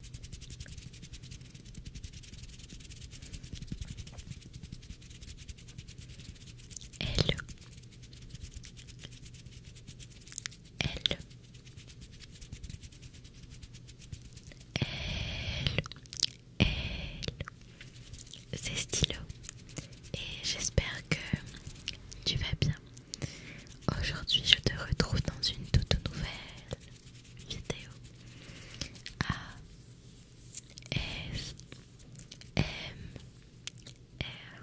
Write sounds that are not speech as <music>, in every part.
Hello. elle, Hello. elle, C'est Stylo et j'espère que tu vas bien. Aujourd'hui, je te retrouve dans une toute nouvelle vidéo e e A S M R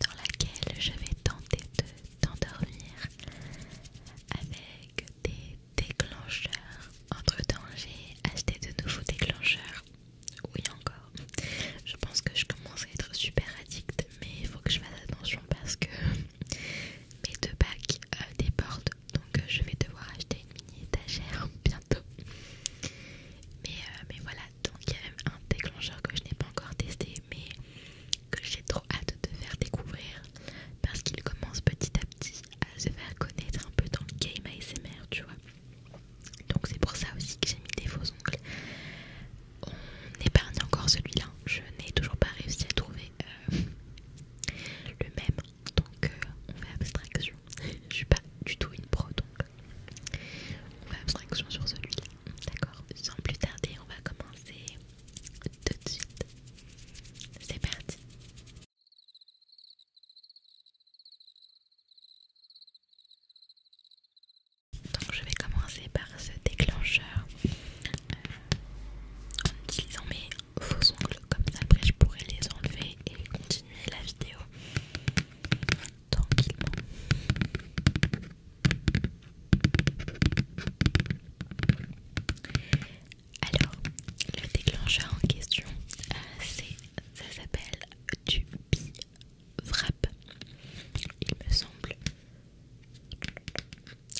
dans laquelle je vais tenter de t'endormir avec des déclencheurs entre temps j'ai acheté de nouveaux déclencheurs oui encore je pense que je commence à être super addict mais il faut que je fasse attention parce que mes deux bacs euh, débordent. Donc euh, je vais devoir acheter une mini étagère <laughs> bientôt. Mais, euh, mais voilà, donc il y a même un déclencheur que je n'ai pas encore testé, mais que j'ai trop hâte de faire découvrir parce qu'il commence petit à petit à se faire connaître un peu dans le game ASMR, tu vois. Donc c'est pour ça aussi que j'ai mis des faux ongles. On épargne encore celui-là. Je n'ai toujours pas réussi à trouver euh, le même, donc euh, on fait abstraction. Je suis pas du tout une pro, donc on fait abstraction sur celui-là. D'accord Sans plus tarder, on va commencer tout de suite. C'est parti donc je vais commencer par ce déclencheur en utilisant mes faux ongles comme ça après je pourrais les enlever et continuer la vidéo tranquillement alors le déclencheur en question euh, ça s'appelle du bi il me semble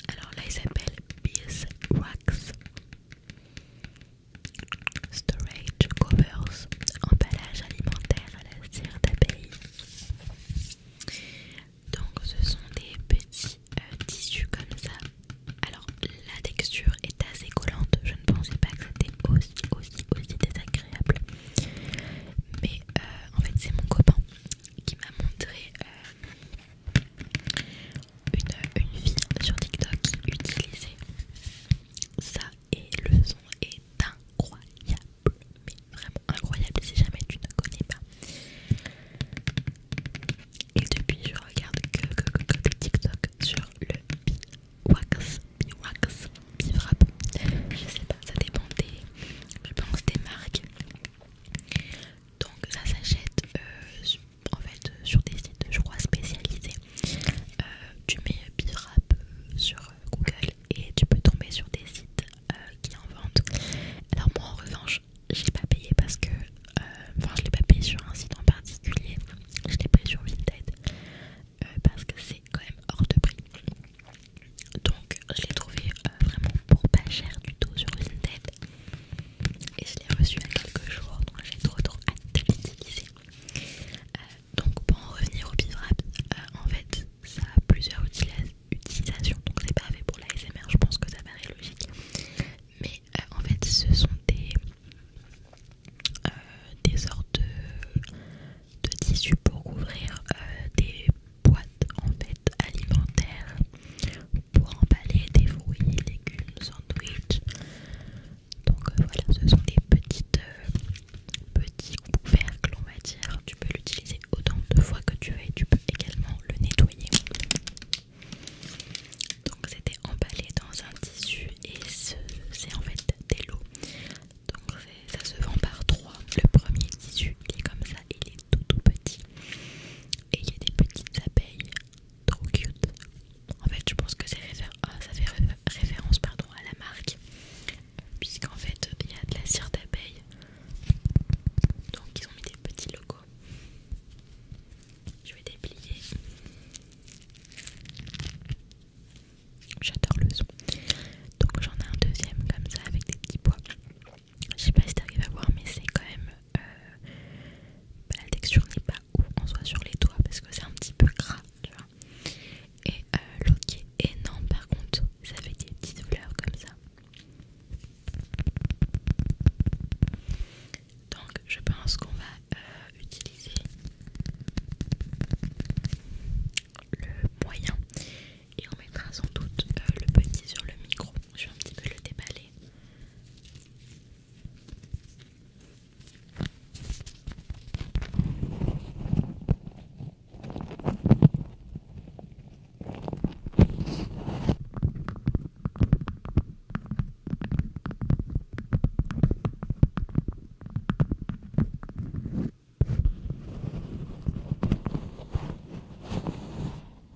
alors là, il s'appelle Beeswax Wax. Storage covers, emballage alimentaire à la cire d'abeille. Donc, ce sont des petits euh, tissus comme ça. Alors, la texture est assez collante. Je ne pensais pas que c'était aussi, aussi, aussi désagréable. Mais euh, en fait, c'est mon copain qui m'a montré euh, une, fille sur TikTok ça et le son est incroyable, mais vraiment incroyable si jamais tu ne connais pas. Et depuis, je regarde que, que, que, TikTok sur le Biwax Je sais pas, ça dépend je des marques donc ça s'achète euh, en fait euh, sur des sites je crois spécialisés euh, tu mets Birap sur Google et tu peux tomber sur des sites qui en vendent alors moi en revanche j'ai pas payé parce que enfin je l'ai pas payé sur un site en particulier je l'ai pris sur Vinted parce que c'est quand même hors de prix donc je l'ai trouvé euh, vraiment pour pas cher du tout sur Vinted et je l'ai reçu il y a quelques jours donc j'ai trop trop hâte de l'utiliser. Euh, donc pour en revenir au bivrap, euh, en fait ça a plusieurs utilisations donc c'est pas fait pour la SMR je pense que ça paraît logique mais en fait ce sont des des sortes de, tissus pour couvrir des boîte en fait alimentaire pour emballer des fruits, légumes, sandwichs. Donc euh, voilà, ce sont des petites, euh, petits couvercles, on va dire. Tu peux l'utiliser autant de fois que tu veux et tu peux également le nettoyer. Donc c'était emballé dans un tissu et c'est en fait des lots. Donc ça se vend par trois. Le premier tissu est comme ça, il est tout tout petit et il y a des petites abeilles trop cute en fait je pense que c'est ah, ça fait référence pardon à la marque puisqu'en fait il y a de la cire d'abeille donc ils ont mis des petits logos je vais déplier j'adore le son donc j'en ai un deuxième comme ça avec des petits pois je sais pas si t'arrives à voir, mais c'est quand même. Euh, bah, la texture n'est pas où en soi sur les doigts parce que c'est un petit peu gras, tu vois. Et euh, l'autre qui est énorme, par contre, ça fait des petites fleurs comme ça. Donc, je pense qu'on va euh, utiliser le moyen et on mettra sans doute euh, le petit sur le micro. Je vais un petit peu le déballer.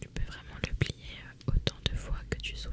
Tu peux vraiment le plier euh, autant de fois que tu souhaites.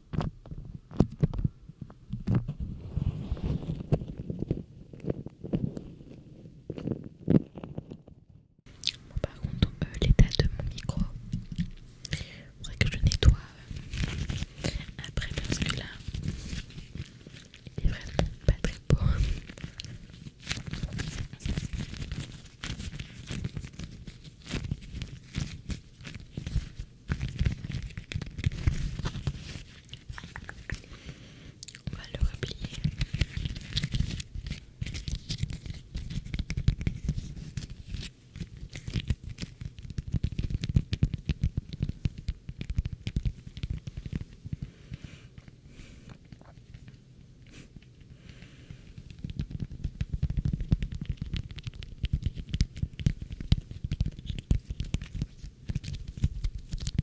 Bon, par contre, euh, l'état de mon micro, il faudrait que je nettoie euh, après parce que là, il est vraiment pas très beau. On va le replier.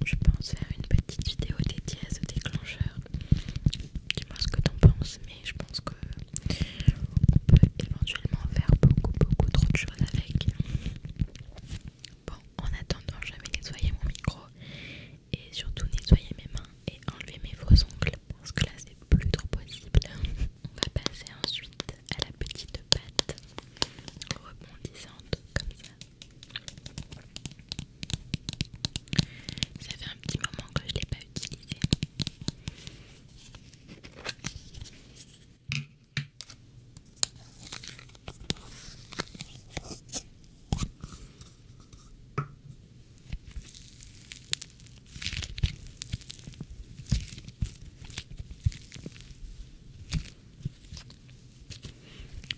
Je pense faire une petite vidéo des à ce déclencheur. Dis-moi ce que t'en penses, mais je pense que on peut éventuellement faire beaucoup, beaucoup trop de choses avec. Bon, en attendant, je vais nettoyer mon micro et surtout nettoyer mes mains et enlever mes faux ongles parce que là c'est plus trop possible. <laughs> On va passer ensuite à la petite pâte rebondissante comme ça. Ça fait un petit moment que je ne l'ai pas utilisé.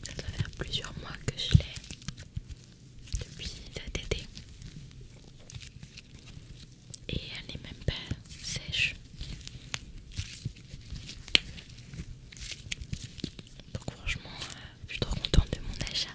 Ça doit faire plusieurs mois que je l'ai depuis cet été. Et elle n'est même pas sèche. Donc franchement, euh, je suis trop contente de mon achat.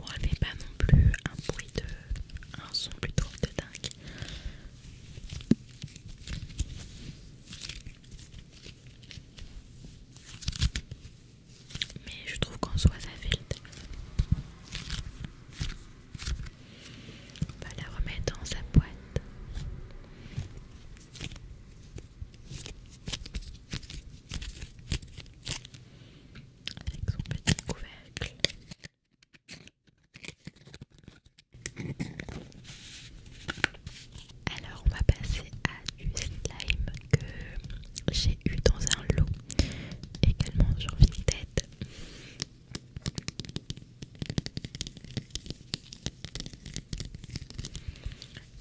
Bon, elle n'est pas non plus un bruit de. un son plutôt de dingue mais je trouve qu'en soi ça On va la remettre dans sa boîte. Avec son petit couvercle. Alors on va passer à du slime que j'ai eu dans un lot également sur Vinted.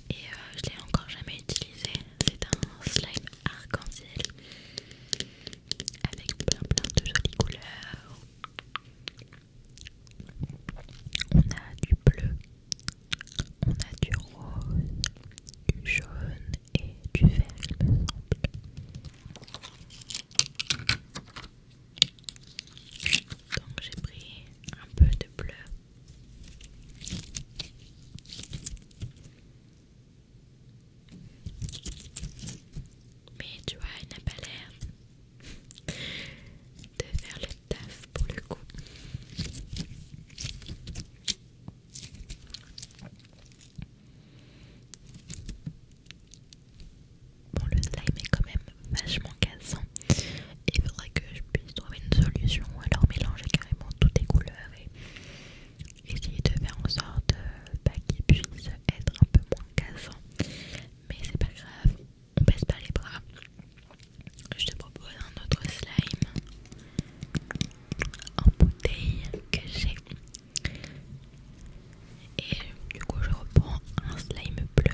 Et euh, je l'ai encore jamais utilisé. C'est un slime arc-en-ciel avec plein plein de jolies couleurs. On a du bleu, on a du rose, du jaune et du verre, il me semble. Donc j'ai pris un peu de bleu. Mais tu vois, il n'a pas l'air de faire le taf pour le coup. Bon, le slime est quand même vachement cassant. il faudrait que je puisse trouver une solution ou alors mélanger carrément toutes les couleurs et essayer de faire en sorte euh, bah, qu'il puisse être un peu moins cassant. Mais c'est pas grave, on baisse pas les bras. Je te propose un autre slime en bouteille que j'ai. Et du coup, je reprends un slime bleu.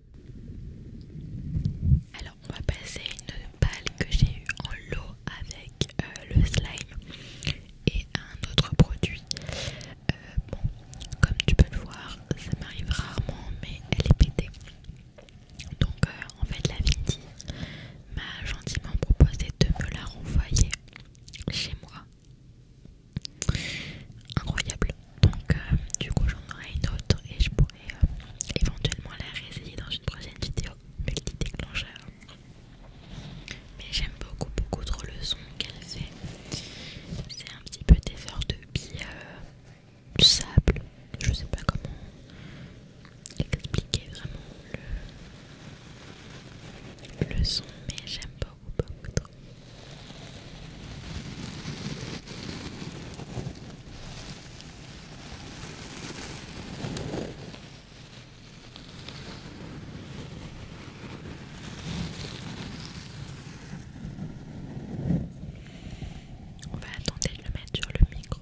Alors on va passer une balle que j'ai eue en lot avec euh, le slime et un autre produit. Euh, bon, comme tu peux le voir, ça m'arrive rarement mais elle est pétée. Donc euh, en fait la Vinti m'a gentiment proposé de me la renvoyer chez moi. Incroyable. Donc euh, du coup j'en aurai une autre et je pourrais euh, éventuellement la réessayer dans une prochaine vidéo multi-déclencheur. Mais j'aime beaucoup beaucoup trop le son qu'elle fait. C'est un petit peu des sortes de billes euh, de sable. Je sais pas comment expliquer vraiment le son mais j'aime beaucoup beaucoup trop. On va attendre de le mettre sur le micro.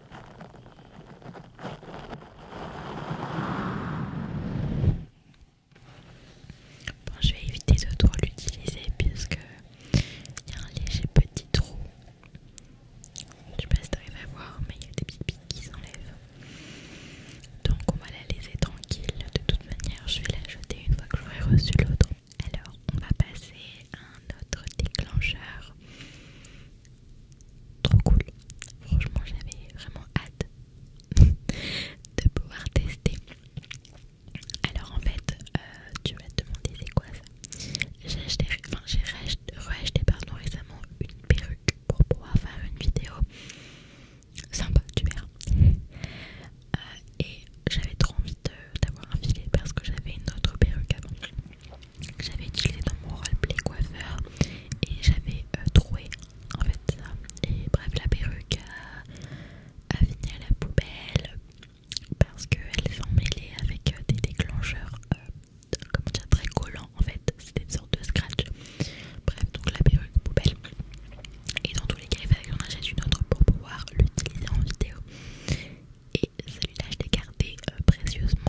Bon, je vais éviter de trop l'utiliser puisque y a un léger petit trou. Je sais pas si arrives à voir, mais il y a des petites qui s'enlèvent. Donc on va la laisser tranquille. De toute manière, je vais la jeter une fois que j'aurai reçu l'autre. Alors, on va passer à un autre déclencheur trop cool. Franchement, j'avais vraiment hâte <laughs> de pouvoir tester. Alors en fait, euh, tu vas te demander c'est quoi ça J'ai acheté, pardon, récemment une perruque pour pouvoir faire une vidéo sympa, tu verras. Euh, et j'avais trop envie d'avoir un filet parce que j'avais une autre perruque avant j'avais utilisé dans mon roleplay coiffeur et j'avais trouvé euh, troué en fait ça. Et bref, la perruque a, fini à la poubelle parce qu'elle est mêlée avec euh, des déclencheurs euh, comme comment dire, très collants en fait. C'était une sorte de scratch. Bref, donc la perruque poubelle. Et dans tous les cas, il fallait que j'en achète une autre pour pouvoir l'utiliser en vidéo. Et celui-là, je l'ai gardé précieusement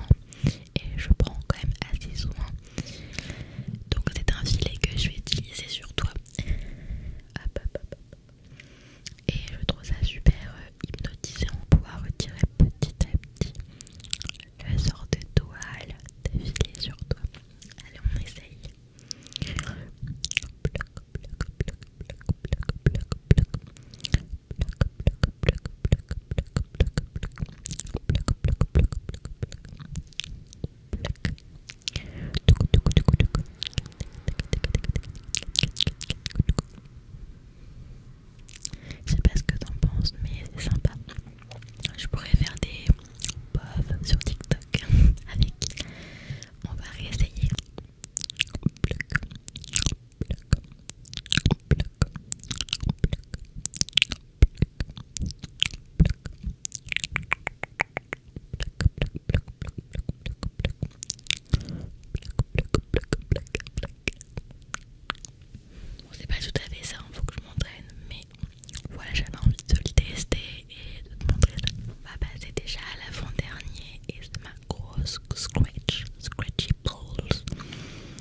et je prends quand même assez souvent. Donc c'est un filet que je vais utiliser sur toi. Et je trouve ça super hypnotisant, pouvoir pouvoir retirer petit à petit le sort de toile de filet sur toi. Allez, on essaye. Je sais pas ce que t'en penses, mais c'est sympa. Je pourrais faire des sur TikTok <laughs> avec. On va réessayer. Bon, c'est pas tout à fait ça, il hein, faut que je m'entraîne, mais voilà, j'avais envie de le tester et de te montrer On va passer déjà à l'avant-dernier et c'est ma grosse scratch, scratchy balls.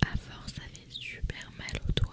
À force, ça fait super mal au doigt.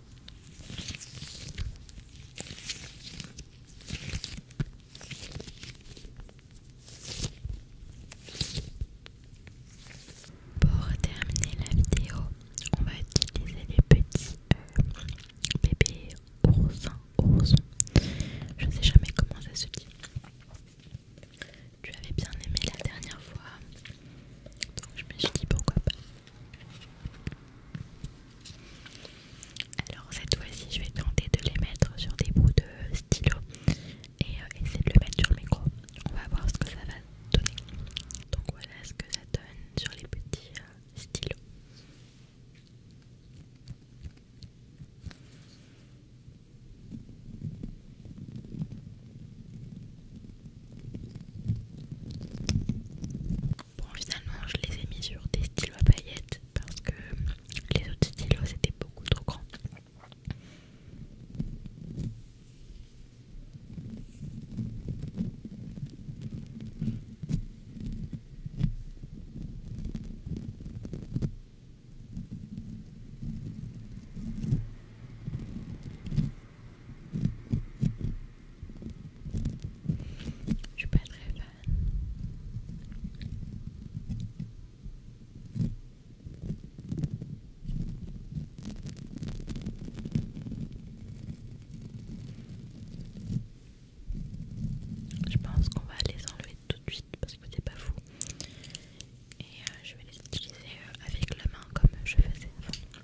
Pour terminer la vidéo, on va utiliser les petits euh, bébés oursins, je Je sais jamais comment ça se dit. Tu avais bien aimé la dernière fois, donc je me suis dit pourquoi pas. Alors cette fois-ci je vais tenter de les mettre sur des bouts de stylo et euh, essayer de le mettre sur le micro. On va voir ce que ça va donner. Donc voilà ce que ça donne sur les petits euh, stylos. Bon finalement je les ai mis sur des stylos à paillettes parce que les autres stylos c'était beaucoup trop grand. Je suis pas très fan. Je pense qu'on va les enlever tout de suite parce que c'est pas fou. Et euh, je vais les utiliser euh, avec la main comme je faisais avant.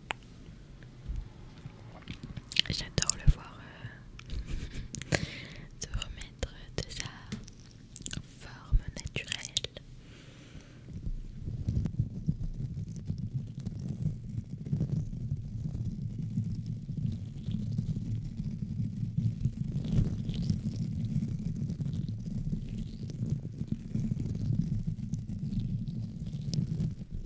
J'adore le voir euh, <laughs> se remettre de sa forme naturelle.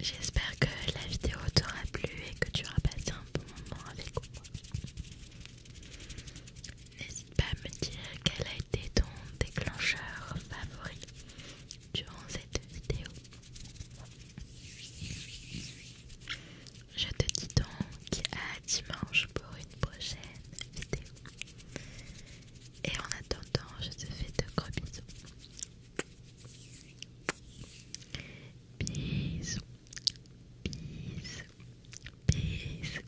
J'espère que la vidéo t'aura plu et que tu auras passé un bon moment avec moi. N'hésite pas à me dire quel a été ton déclencheur favori durant cette vidéo. Je te dis donc à dimanche pour une prochaine vidéo. Et en attendant, je te fais de gros bisous. Bisous. Bisous. Bisous.